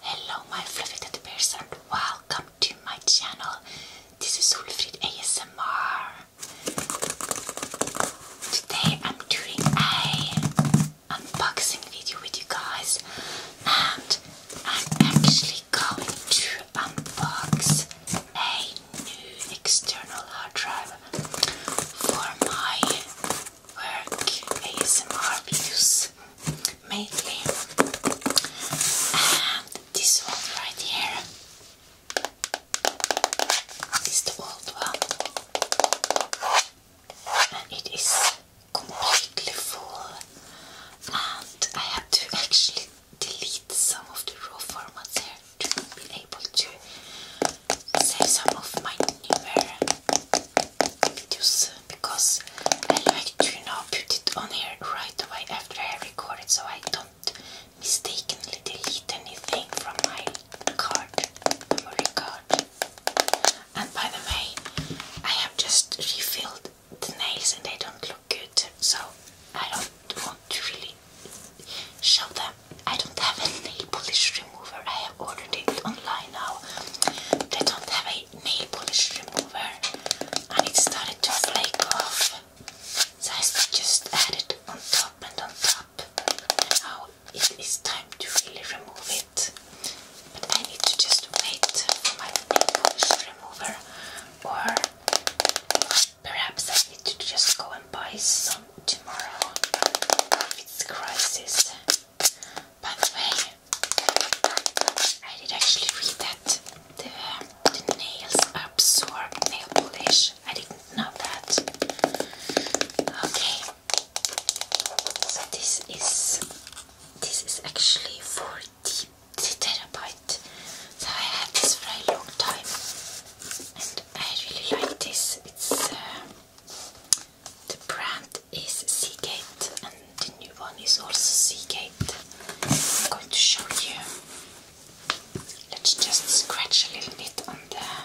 Hello my fluffy teddy bears and welcome to my channel. This is Ulfrid ASMR. Today I'm doing a unboxing video with you guys and I'm actually going to unbox a new external hard drive for my work ASMR videos mainly and this one right here is the old one it is completely full and I had to actually delete some of the raw formats here to be able to save some of my newer videos because I like to now put it on here right away after I record it so I don't mistakenly delete anything from my card, memory card. And by the way, I have just refilled the nails and they don't look good, so I don't want to really show them. I don't have a nail polish remover, I have ordered it online now. They don't have a nail polish remover and it started to flake off. So I just added it on top and on top now it is time to really remove it. But I need to just wait for my nail polish remover, or perhaps I need to just go and buy some tomorrow if it's crisis. By the way, I did actually read that the nails absorb nail polish. I didn't know that. Okay, this is this is actually for deep. terabyte so I had this for a long time and I really like this it's um, the brand is Seagate and the new one is also Seagate I'm going to show you let's just scratch a little bit on there.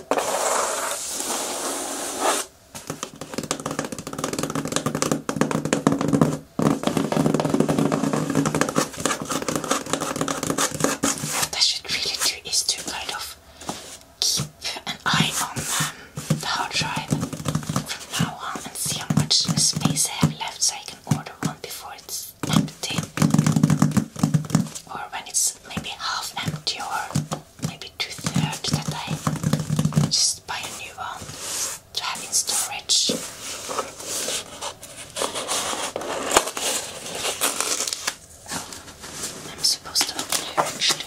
What I should really do is to kind of keep an eye on um, the hard drive from now on and see how much space I have left so I can order one before it's empty or when it's maybe half empty or maybe two thirds that I just buy a new one to have in storage. Oh, I'm supposed to open here actually.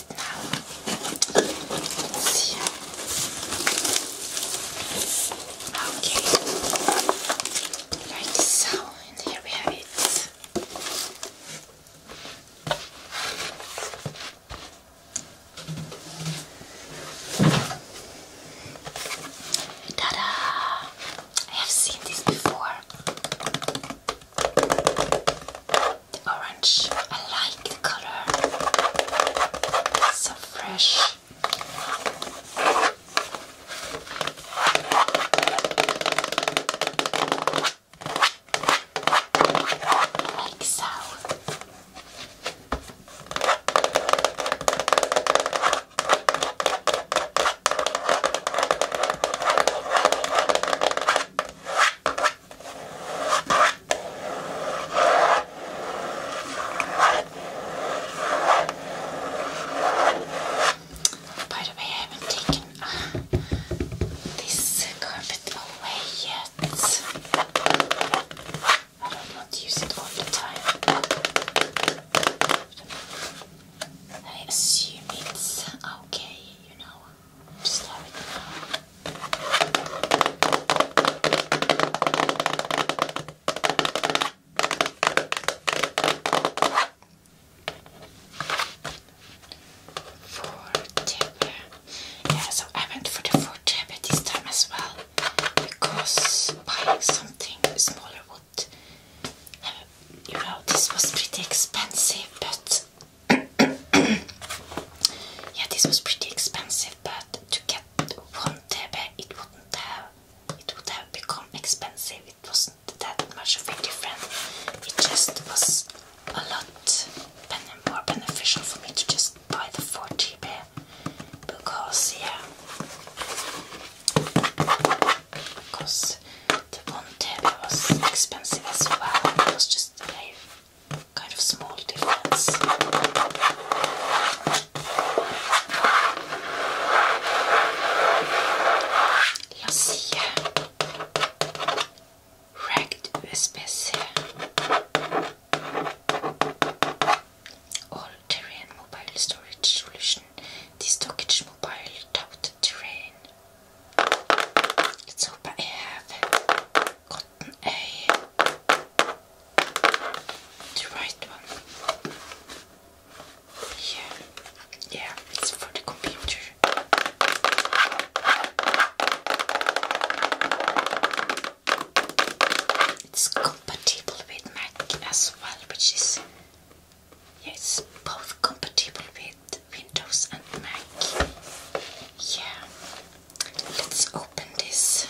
it now. Let's see. Okay. Like so, and here we have it. Ta-da! I have seen this before the orange. I like the color. It's so fresh. Like so. By the way, I haven't taken uh, this carpet away yet. I don't want to use it all the time. I assume it's okay, you know. Four tip. Yeah, so I went for the four tip this time as well because buying something smaller would, uh, you know, this was pretty expensive, but yeah, this was pretty expensive, but to get one tebe, it wouldn't have it would have become expensive. It wasn't that much of a difference. It just was a lot more beneficial for me to just buy the forty tebe because yeah. Because the one table was expensive as well. It was just just a kind of small difference. all-terrain mobile storage solution. This stockage mobile tout started to rain. I have gotten a the right one. Yeah, yeah, it's for the computer. It's compatible with Mac as well, which is yes, both compatible with Windows and Mac. Yeah, let's open this.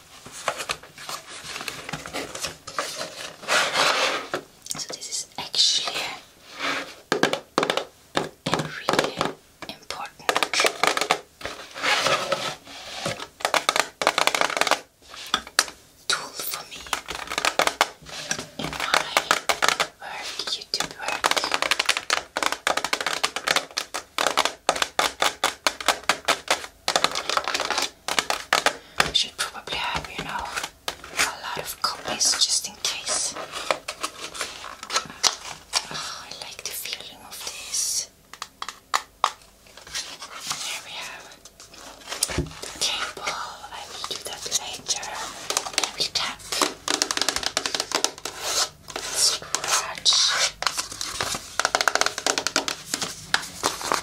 So this is actually a important tool for me in my work, YouTube work. I should probably have, you know, a lot of copies just in case. Oh, I like the feeling of this. And we have the cable. I will do that later. I will tap. Scratch.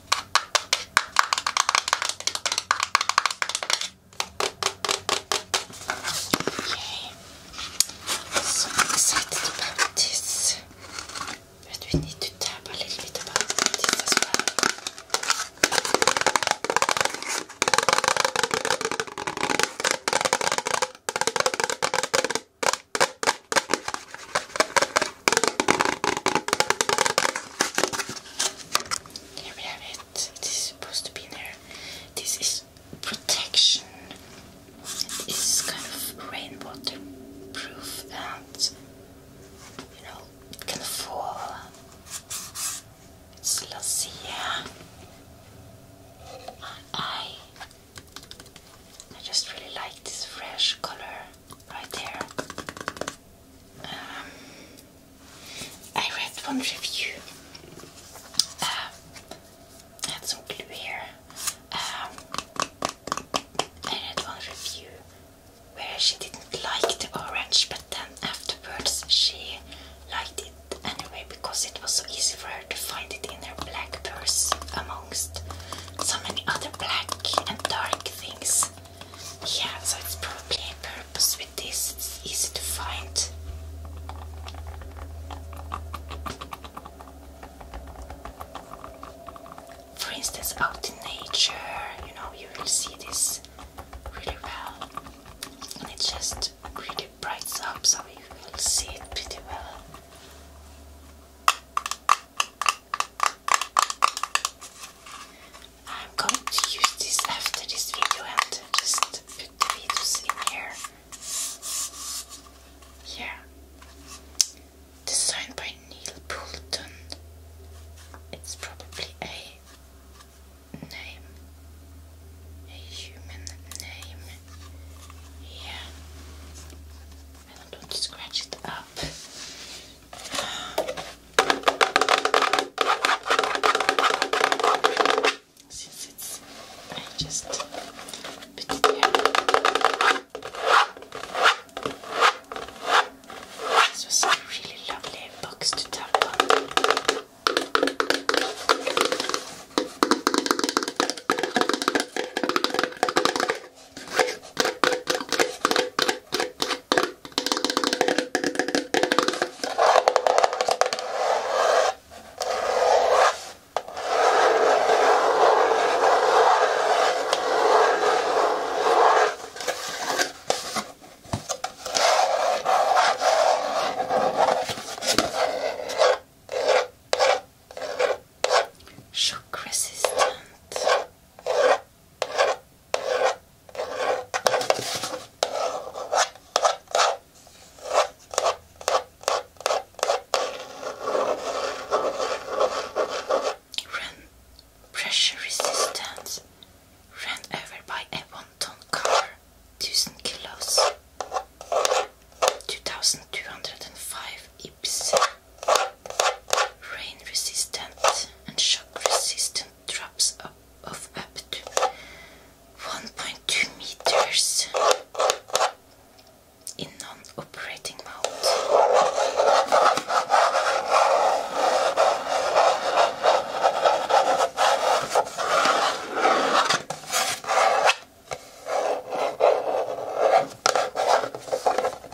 Okay. So I'm excited about this. But we need to tap a little bit about this as well. Here we have it. It is supposed to be there. This is protection. It is kind of rainwater proof and you know it can fall. It's Lucia. I I just really like this fresh color right there. Um, I read one review. Uh, um, that's so clear. Um, I read one review where she didn't like the orange, but then afterwards she liked it anyway because it was so easy for her to find it in her black purse amongst so many other black and dark things. Yeah, so it's probably a purpose with this, it's easy to find. For instance, out in nature, you know, you will see this really well, and it just really brights up, so you will see it pretty well. I'm going to use this after this video and just put the videos in here. Yeah. Designed by Neil Poulton. It's probably a name. A human name. Yeah. I don't scratch it up. Since it's I just put it here. This was a really lovely box to tap on. Shock resistant. Run pressure resistance ran over by a one-ton car, thousand kilos, two thousand two hundred and five ips rain resistant and shock resistant drops up of up to 1.2 meters in non-operating mode.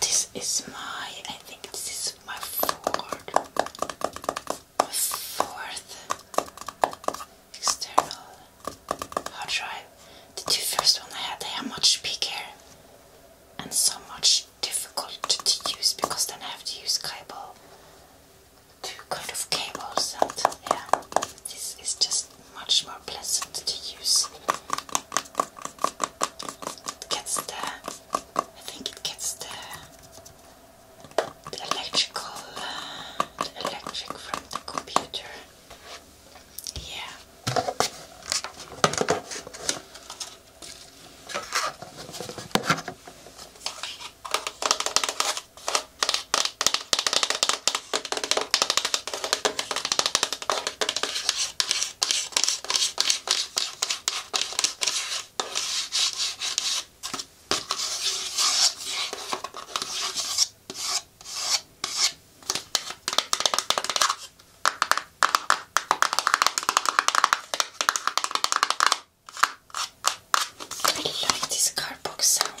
this is my, I think this is my fourth, my fourth external hard drive. The two first one I had, they are much bigger and so much difficult to use because then I have to use cable, two kind of cables and yeah, this is just much more pleasant to use gets the I think it gets the electrical uh, electric from the computer. Yeah. I really like these cardboard sounds.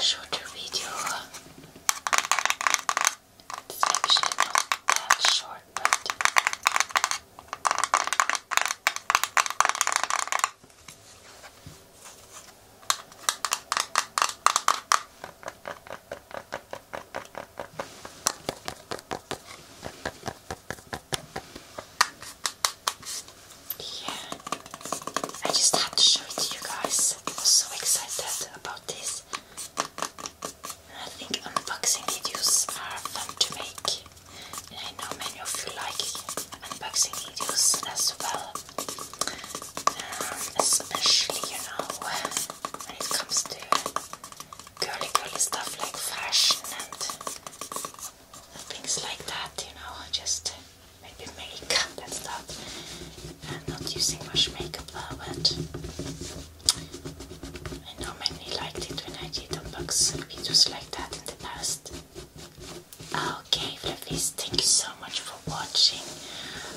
shorter video. It's actually not that short, but yeah, I just had to show it to you guys. I was so excited about this. I think unboxing videos are fun to make. And I know many of you like unboxing videos as well. Um, especially, you know, when it comes to girly girly stuff like fashion and things like that, you know, just maybe makeup and stuff. I'm not using much makeup now, but I know many liked it when I did unbox videos like that in the past. Okay, Fluffies, thank you so much for watching.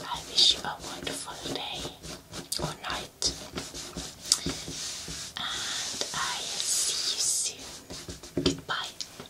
I wish you a wonderful day or night. And I'll see you soon. Goodbye.